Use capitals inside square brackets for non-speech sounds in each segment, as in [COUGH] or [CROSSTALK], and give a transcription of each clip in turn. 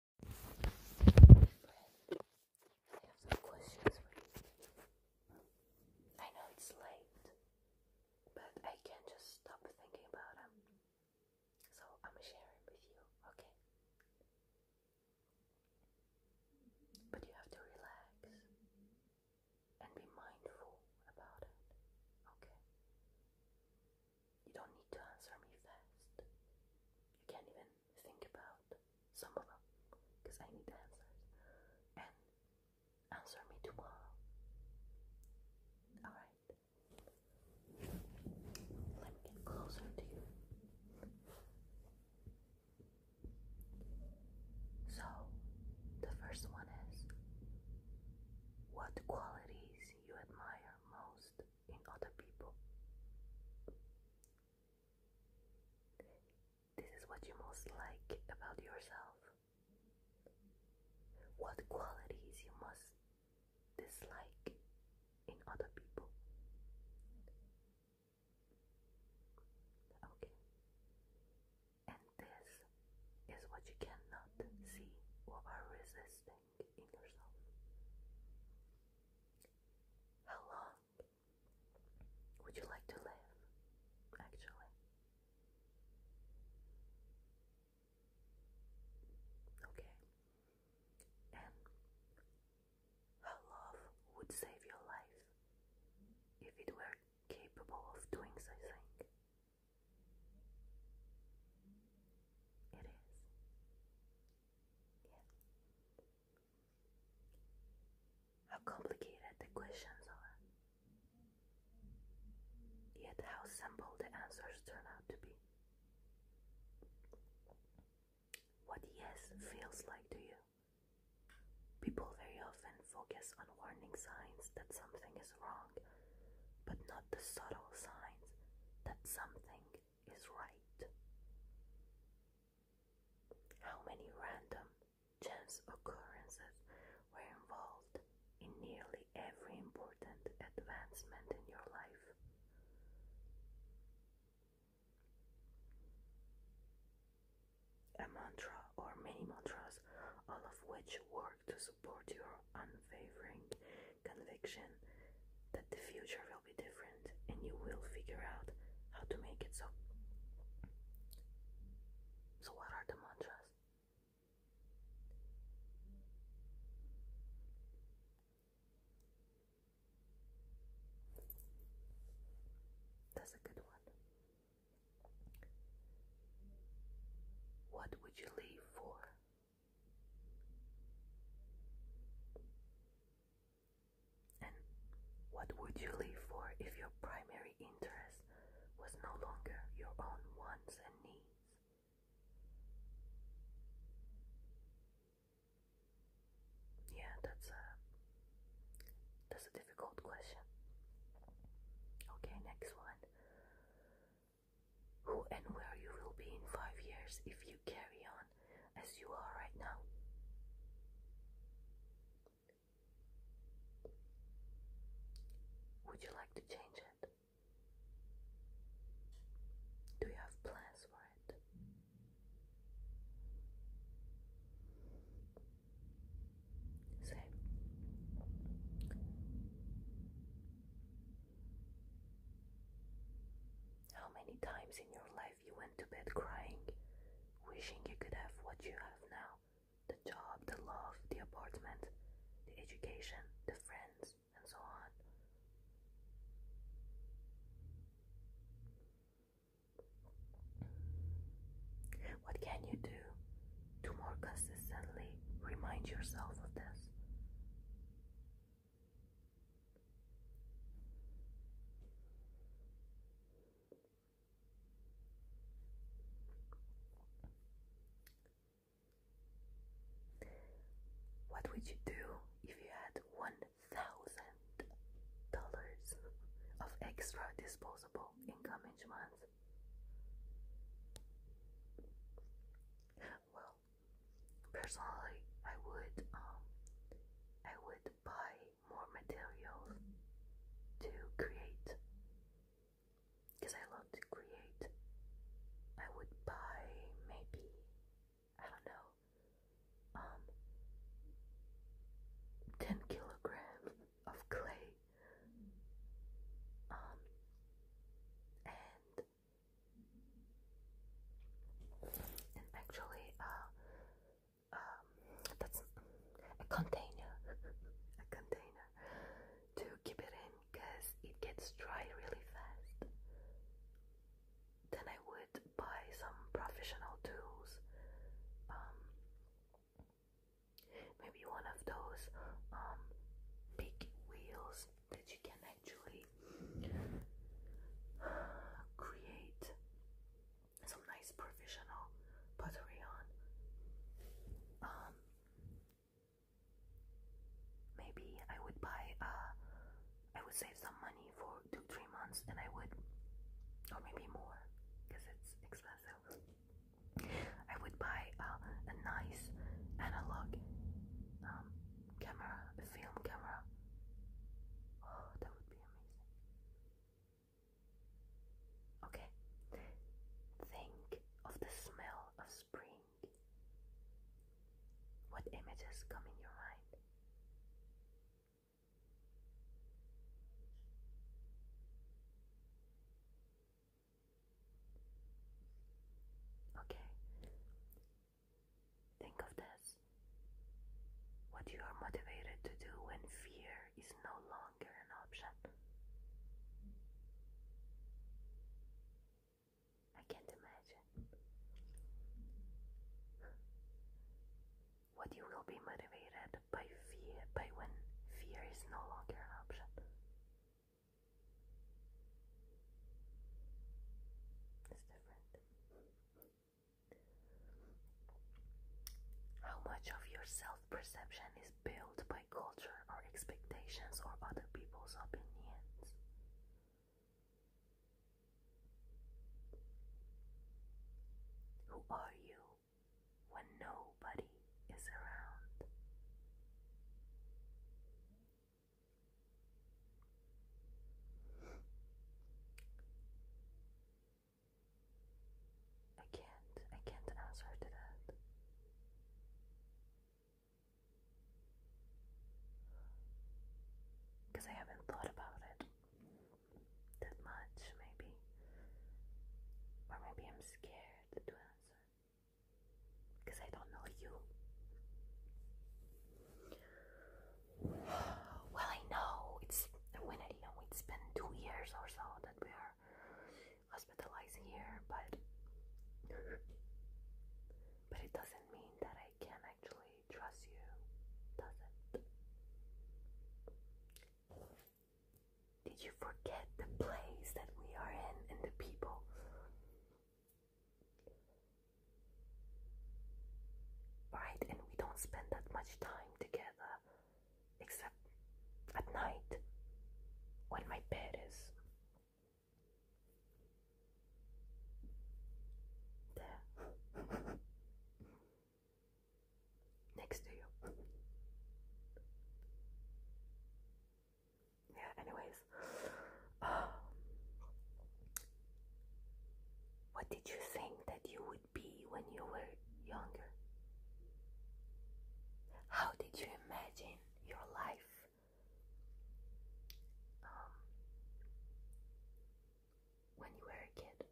I have some questions for you. I know it's late, but I can't just stop thinking about them. So I'm sharing with you, okay? But you have to relax and be mindful about it, okay? You don't need to answer me fast. You can't even think about some of them because I need answers. And answer me tomorrow. Alright. Let me get closer to you. So, the first one is what qualities you admire most in other people. This is what you most like about yourself. What qualities you must dislike in other people. Okay. And this is what you cannot see or are resisting in yourself. How long would you like to live, actually? Okay. And how love would save your life if it were capable of doing such It is. How complicated the questions are, yet how simple the answers turn out to be. What yes feels like to you. People very often focus on warning signs that something is wrong, but not the subtle signs that something is right. How many random chance occurrences were involved in nearly every important advancement in your life? A mantra or many mantras, all of which work to support your unwavering conviction that the future will be different and you will figure out how to make it so. So, what are the mantras? That's a good one. What would you leave for? And what would you live for if your primary interest was no longer your own wants and needs? Yeah, that's a that's a difficult question. Okay, next one who and where you will be in five years if you carry on as you are right now. Would you like to change it? Do you have plans for it? Same. How many times in your life you went to bed crying, wishing you could have what you have now the job, the love, the apartment, the education, the friends, and so on? What can you do to more consistently remind yourself of this? What would you do if you had one thousand dollars of extra disposable income each month? Well, Personally, I would um I would buy more materials to create because I love to create. I would buy maybe I don't know um 10 kilograms of clay um and and actually uh, um, that's a container [LAUGHS] a container to keep it in because it gets dry really fast then I would buy some professional tools um, maybe one of those um, big wheels that you can actually create some nice professional pottery on. Um, maybe I would buy uh, I would save some money for two three months and I would or maybe more because it's expensive. I would buy uh, a nice analog um, camera, film camera. Oh, that would be amazing. Okay, think of the smell of spring. What images come in your mind? Okay, Think of this what you are motivated to do when fear is no longer an option. I can't imagine what you will be motivated by fear by when fear is no longer an option. It's different. How much of your self perception is built by culture or expectations or other people's opinions? Who are you when nobody is around? I can't, I can't answer to that. Because I haven't thought about it that much, maybe. Or maybe I'm scared to answer. Because I don't know you. [SIGHS] Well, I know it's when I know it's been two years or so that we are hospitalized here, but but it doesn't mean that I can actually trust you, does it? Did you forget the place that we are in and the people? Right, and we don't spend that much time together except at night when my bed is there [LAUGHS] next to you yeah, anyways. Um, what did you think that you would be when you were younger? How did you imagine your life? Um, when you were a kid?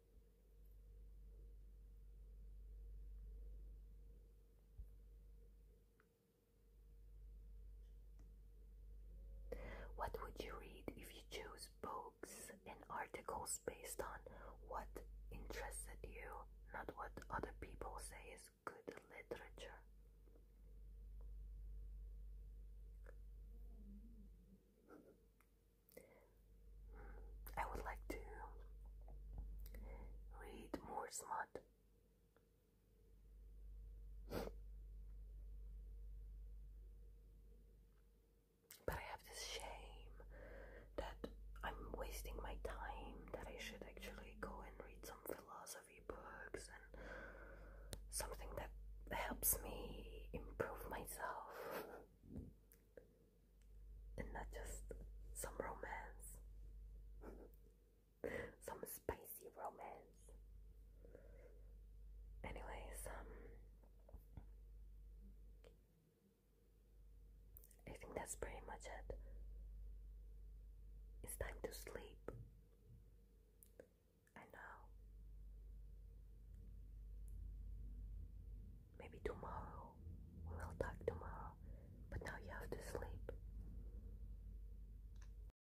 What would you read if you chose books and articles based on what interested you, not what other people say is good literature? Hmm, I would like to read more smut but I have this shame that I'm wasting my time, that I should actually go and read some philosophy books and something that helps me improve myself and not just some romance some spicy romance. Anyways, um, I think that's pretty much it. It's time to sleep. I know. Maybe tomorrow. We will talk tomorrow. But now you have to sleep.